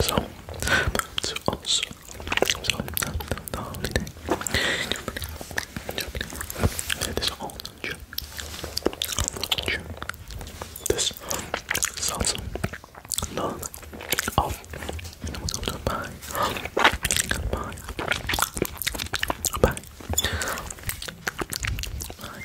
So, so also, so the, the holiday. It is all June. June. This is also none of goodbye. Goodbye. Bye. Bye.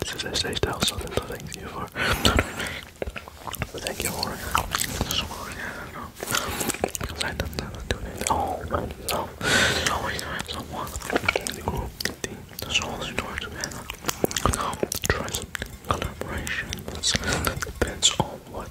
This is a stage style something to thank you for. thank you for Because I don't know do it. Oh man, always have someone the group. There's always try to Try some collaborations. depends on what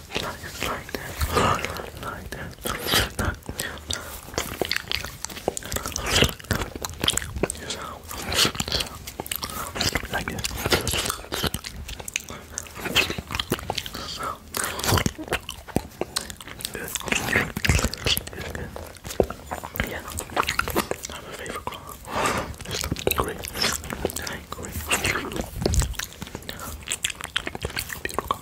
Not just like that. Not like that. Not. Just how. Like this. Yeah, I'm a favorite color. It's green. It's green. Beautiful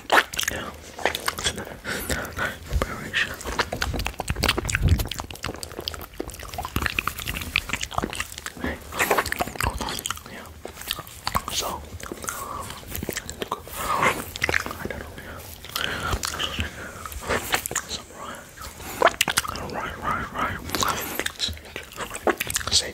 It's another preparation. Hey, hold on. Yeah. So, I don't know. Yeah. Some right. Right, right, right. Say,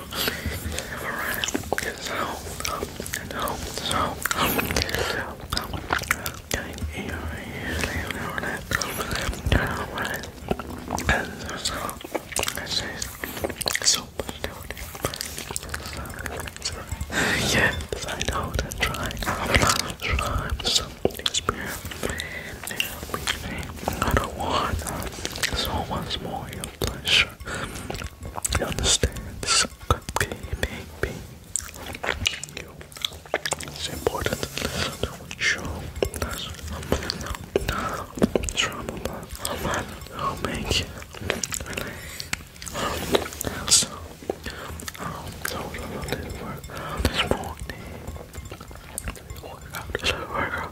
Alright, so, um, so, so, um, so, um, getting here, leaving over that, turn over it, and so, I say, so much doing, so, yes, I know that trying, I'm not trying something experiment, and we think, I don't want, so once more, you pleasure. You understand? This gaming you. It's important. Don't show that's trauma, but I'll make you relate. Also, I'll totally live out this morning. Out this world.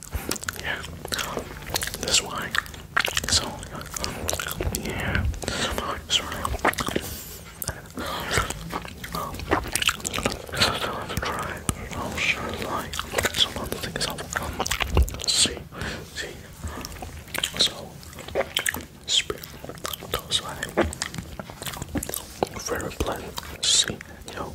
yeah, that's why. So, yeah, sorry. I'll oh, show like some other things I'll see. See, so spirit, that's why. Very pleasant. See, yo,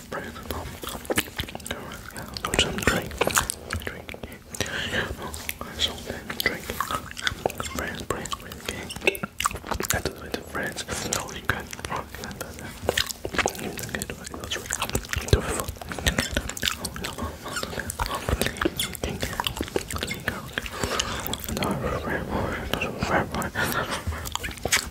Got some drink. Drink. So drink. Friends, friends, okay. I do with the friends. No, you can. Oh, you can get away. That's right. Do it for. Oh, no, no, no, no, no, no, no,